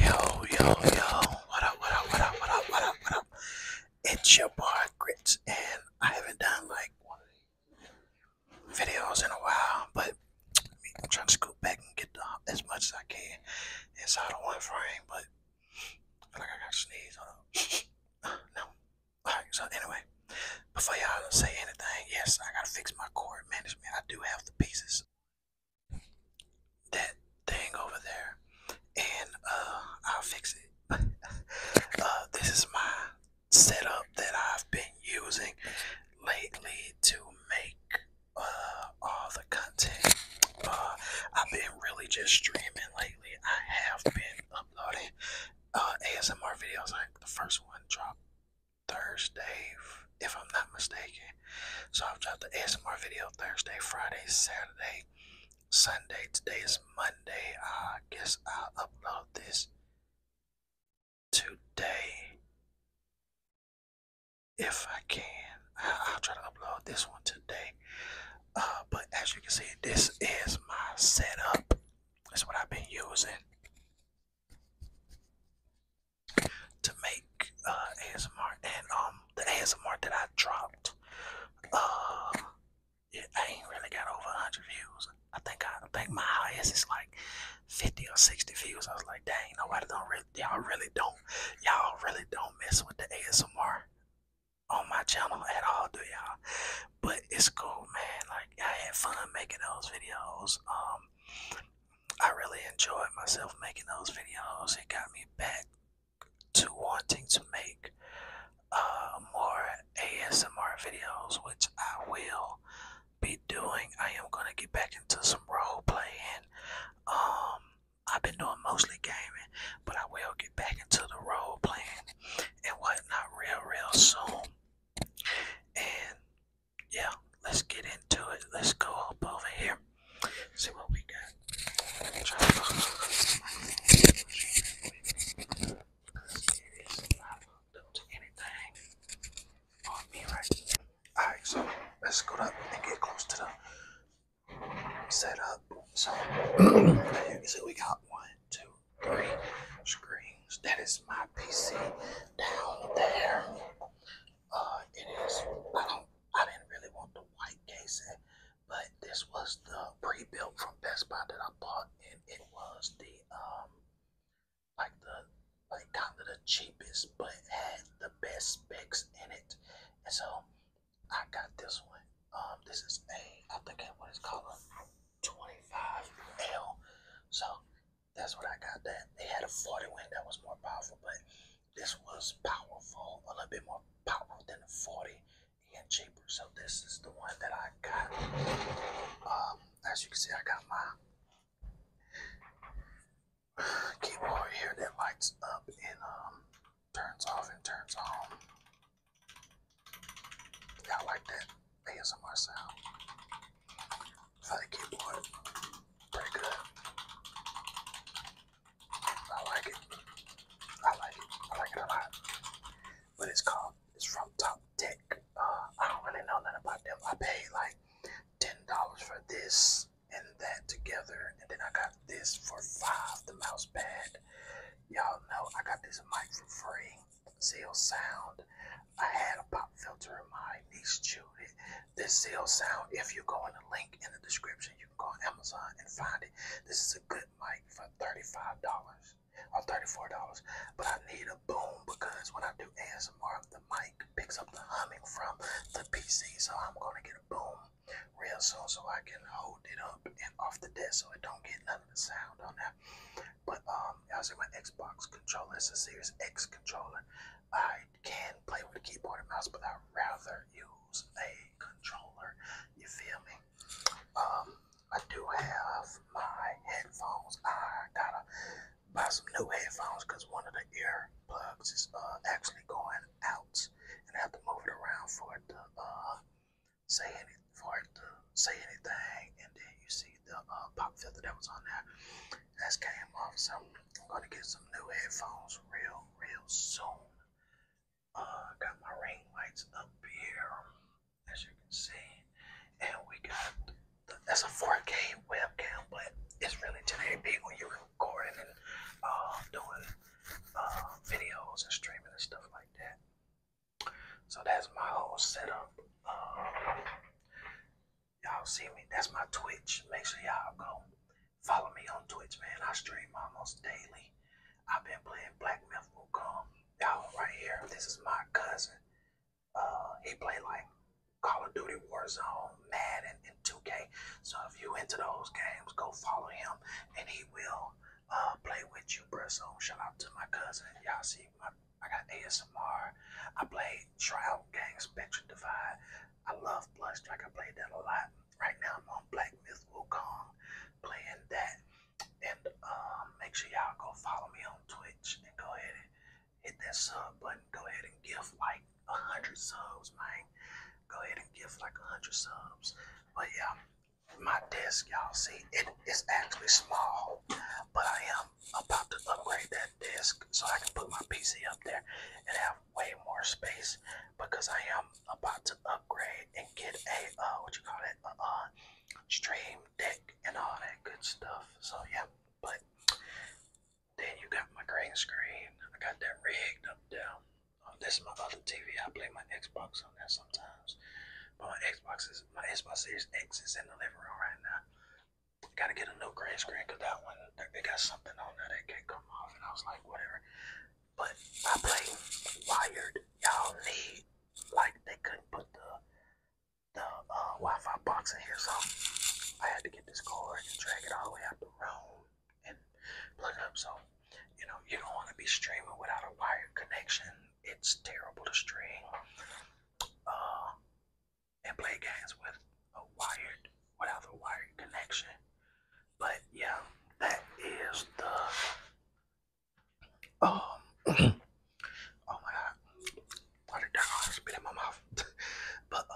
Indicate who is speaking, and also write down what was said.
Speaker 1: Yo, yo, yo, what up, what up, what up, what up, what up, what up? It's your boy Grits, and I haven't done like videos in a while, but I'm trying to scoot back and get as much as I can inside of one frame, but I feel like I got sneeze. Hold on. no. Alright, so anyway, before y'all say anything, yes, I gotta fix my cord management. I do have the pieces that thing over there and uh I'll fix it. uh this is my setup that I've been using lately to make uh all the content. Uh I've been really just streaming lately. I have been uploading uh ASMR videos like the first one dropped Thursday, if I'm not mistaken. So I've dropped the ASMR video Thursday, Friday, Saturday, Sunday. Today is Monday. I guess I'll upload this today if I can. I'll try to upload this one today. Uh, but as you can see, this is my setup. That's what I've been using to make uh, ASMR, and um, the ASMR that I dropped, uh, yeah, I ain't really got over 100 views. I think I, think my highest is like 50 or 60 views. I was like, dang, nobody don't y'all really don't, y'all really don't mess with the ASMR on my channel at all, do y'all? But it's cool, man. Like I had fun making those videos. Um um, I really enjoyed myself making those videos. It got me back to wanting to make uh, more ASMR videos, which I will be doing. I am gonna get back into some role playing. Um, I've been doing mostly gaming, but I will get back into the role playing and whatnot real, real soon. And yeah, let's get into it. Let's go up over here. See what we got. Alright, so let's go up and get close to the setup. So, you can see we got one, two, three screens. That is my PC down there. Uh, it is. I don't. I didn't really want the white casing, but this was the pre-built from Best Buy that I bought, and it was the um, like the like kind of the cheapest, but had the best specs in it. And so I got this one. Um, this is a. I think what it's called. 25L. So that's what I got that. They had a 40 wind that was more powerful, but this was powerful, a little bit more powerful than the 40 and cheaper. So this is the one that I got. Um, as you can see, I got my keyboard here that lights up and um, turns off and turns on. Y'all like that ASMR sound? For the keyboard, pretty good. I like it. I like it. I like it a lot. But it's called, it's from Top Tech. Uh, I don't really know nothing about them. I paid like $10 for this and that together, and then I got this for five, the mouse pad. Y'all know I got this mic for free. Zeal Sound. I had a pop filter in my niece chewed it. This Zeal Sound, if you go in the link in the description, you can go on Amazon and find it. This is a good mic for $35 or $34. But I need a boom because when I do ASMR, the mic picks up the humming from the PC. So I'm going to get a boom real soon so I can hold it up and off the desk so it don't get ain't um, I was in my Xbox controller. It's a Series X controller. I can play with a keyboard and mouse, but I'd rather use a controller. You feel me? Um, I do have my headphones. I gotta buy some new headphones because one of the earplugs is uh, actually going out, and I have to move it around for it to uh, say any for it to say anything, and then you see the uh, pop filter that was on there. That's came off, so I'm gonna get some new headphones real, real soon. Uh, got my ring lights up here, as you can see, and we got that's a 4K webcam, but it's really 1080p when you're recording and uh, doing um, videos and streaming and stuff like that. So that's my whole setup. Um, y'all see me? That's my Twitch. Make sure y'all go follow me on Twitch, man. I stream almost daily. I've been playing Black Myth Wukong. Y'all right here. This is my cousin. Uh, he play like Call of Duty Warzone, Madden, and 2K. So if you into those games, go follow him and he will uh, play with you, bro. So shout out to my cousin. Y'all see, my, I got ASMR. I play Trial Gang Spectrum Divide. I love Blush I play that a lot. Right now, I'm on Black Myth Wukong playing that. And um, make sure y'all go follow me on Twitch and go ahead and hit that sub button. Go ahead and give, like, 100 subs, man. Go ahead and give like 100 subs. But yeah, my desk, y'all see, it is actually small, but I am about to upgrade that desk so I can put my PC up there and have way more space because I am about to upgrade and get a, uh, what you call it, uh, stream deck and all that good stuff. So yeah, but then you got my green screen. I got that rigged up down. Um, this is my other TV. I play my Xbox on that sometimes. But my Xbox is my Xbox Series X is in the living room right now. Gotta get a new green screen because that one they got something on there they can't come off. And I was like, whatever. But I play wired. Y'all need like they couldn't put the the uh, Wi-Fi box in here, so I had to get this cord and drag it all the way out the room and plug up. So, you know, you don't want to be streaming without a wired connection. It's terrible to stream uh, and play games with a wired without a wired connection. But yeah, that is the um oh my god. Water down spit in my mouth. but uh,